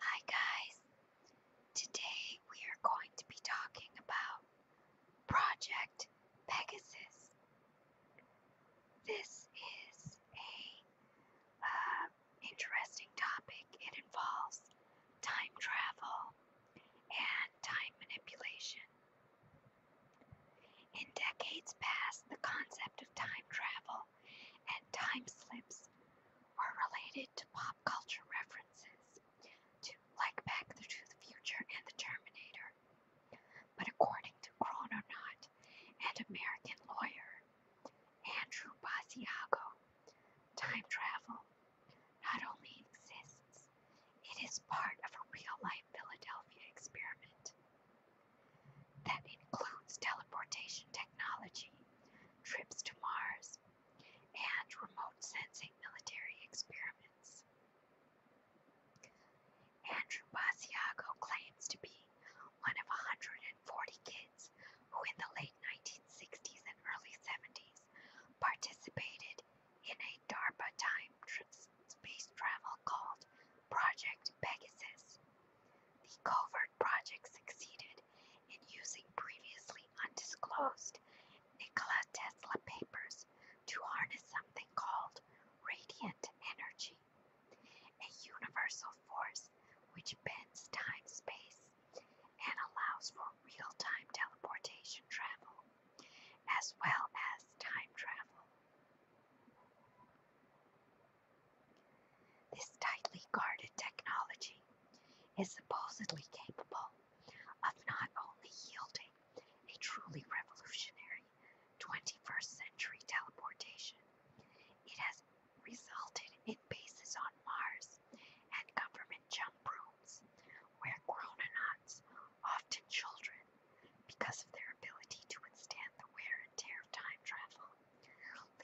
Hi guys, today we are going to be talking about Project Pegasus. This is a um, interesting topic. It involves time travel and time manipulation. In decades past, the concept of time travel and time slips were related to pop culture references to like Back to the Future and the Terminator. But according to Chrononaut and American lawyer Andrew Basiago, time travel not only exists, it is part of a real life Philadelphia experiment that includes teleportation technology, trips to Mars, and remote sensing military experiments. Andrew Basiago claims to be one of 140 kids who in the late 1960s and early 70s participated in a DARPA time space travel called Project Pegasus. The covert project succeeded in using previously undisclosed Nikola Tesla papers to harness something called radiant energy, a universal force which bends time space and allows for real time teleportation travel, as well as time travel. This tightly guarded technology is supposedly capable of not only yielding a truly revolutionary 21st century teleportation, it has resulted in bases on Mars and government jump rooms where chrononauts, often children, because of their ability to withstand the wear and tear of time travel,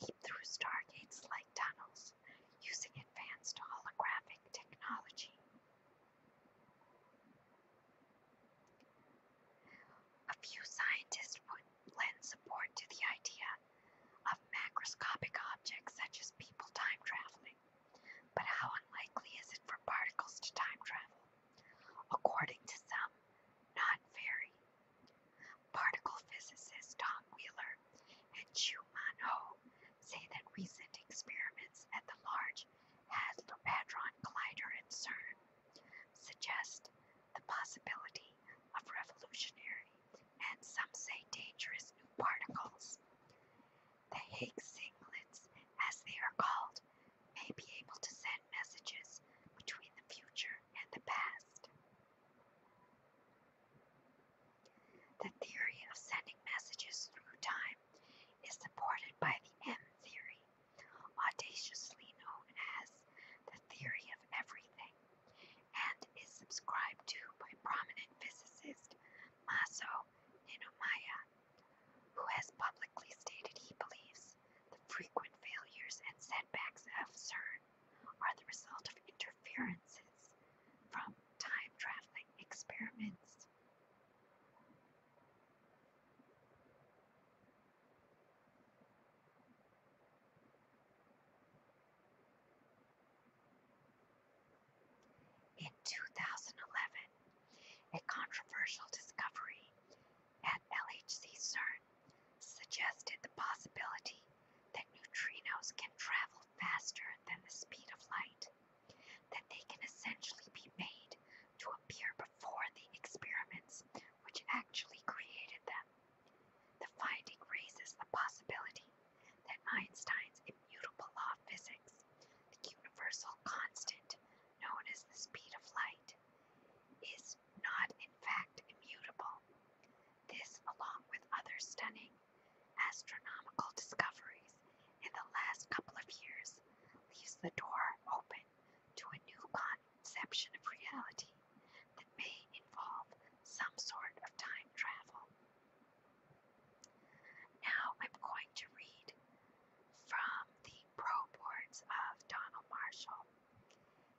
leap through stargates like tunnels using advanced holographic technology. A few scientists would lend support to the idea of macroscopic objects such as people time traveling, but how unlikely is it for particles to time travel? According to some, not very, Particle physicists Tom Wheeler and Chu Man Ho say that recent experiments at the Large Hadron Collider at CERN suggest the possibility of revolutionary and some say dangerous new particles. The Higgs singlets, as they are called, may be able to send messages between the future and the past. The theory of sending messages through time is supported by the M theory, audaciously known as the theory of everything, and is subscribed to by prominent physicist Maso Ninomaya, who has publicly stated he believes the frequent failures and setbacks of CERN are the result of interferences from time traveling experiments. In 2011, a controversial discovery at LHC CERN suggested the possibility that neutrinos can travel faster than the speed of light, that they can essentially be made to appear before the experiments which actually created them. The finding raises the possibility that Einstein's immutable law of physics, the universal constant known as the speed of light, is not in fact immutable, this, along with other stunning astronomical discoveries in the last couple of years, leaves the door open to a new conception of reality that may involve some sort of time travel. Now I'm going to read from the Pro Boards of Donald Marshall.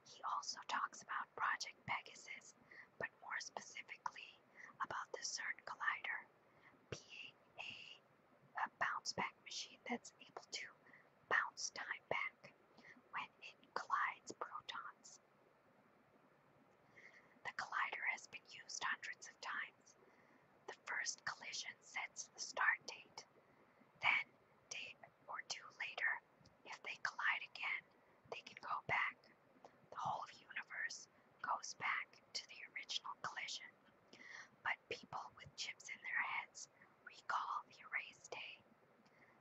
He also talks about Project Pegasus, but more specifically about the CERN Collider being a, bounce back machine that's able to bounce time back when it collides protons. The collider has been used hundreds of times. The first collision sets the start date. Then, day or two later, if they collide again, they can go back. The whole universe goes back to the original collision. But people with chips in their heads recall the erased day.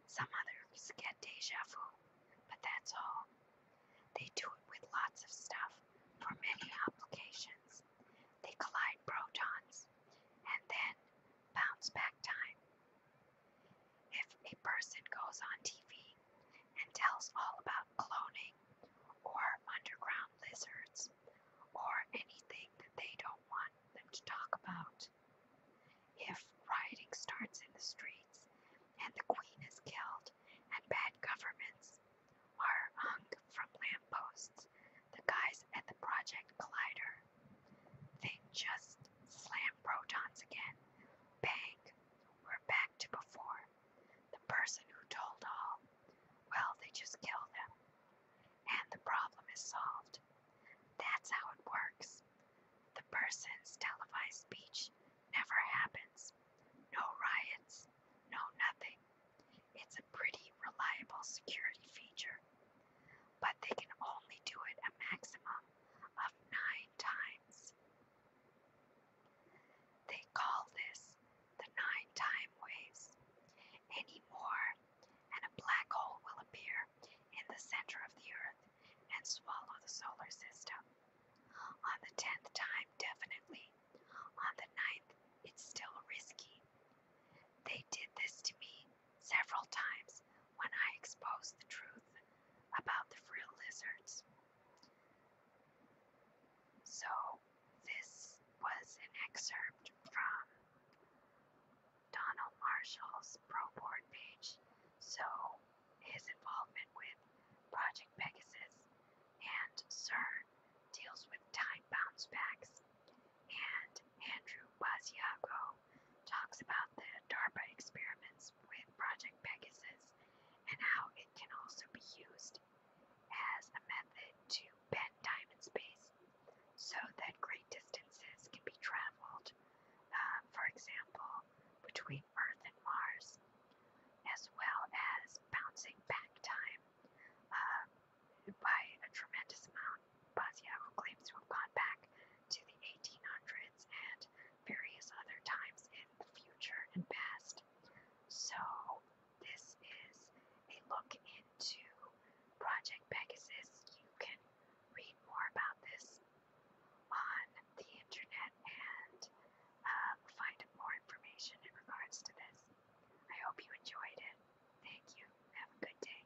Some others get deja vu, but that's all. They do it with lots of stuff for many applications. They collide protons and then bounce back time if a person goes on TV and tells all about cloning or underground lizards or anything that they don't want them to talk about, if rioting starts in the streets and the queen is killed and bad governments are hung from lampposts, the guys at the Project Collider, they just slam protons again, bang, we're back to before. The person who told all. Well, they just kill them. And the problem is solved. That's how it works. The person's televised speech never happens. No riots, no nothing. It's a pretty reliable security feature. But they can only do it a maximum of nine times. They call this the nine time waves. Any more, and a black hole will appear in the center of the Earth and swallow the solar system. On the tenth time, definitely. On the ninth, it's still risky. They did this to me several times when I exposed the truth about the frill lizards. So, this was an excerpt from Donald Marshall's Pro Board page. So, his involvement with Project Pegasus and Sir deals with time bounce backs, and Andrew Basiago talks about the DARPA experiments with Project Pegasus and how it can also be used as a method to bend time and space so that great distances can be traveled, uh, for example, between Earth and Mars, as well as bouncing back time uh, by a tremendous amount. Basyahu claims to have gone back to the 1800s and various other times in the future and past. So, this is a look into Project Pegasus. You can read more about this on the internet and uh, find more information in regards to this. I hope you enjoyed it. Thank you. Have a good day.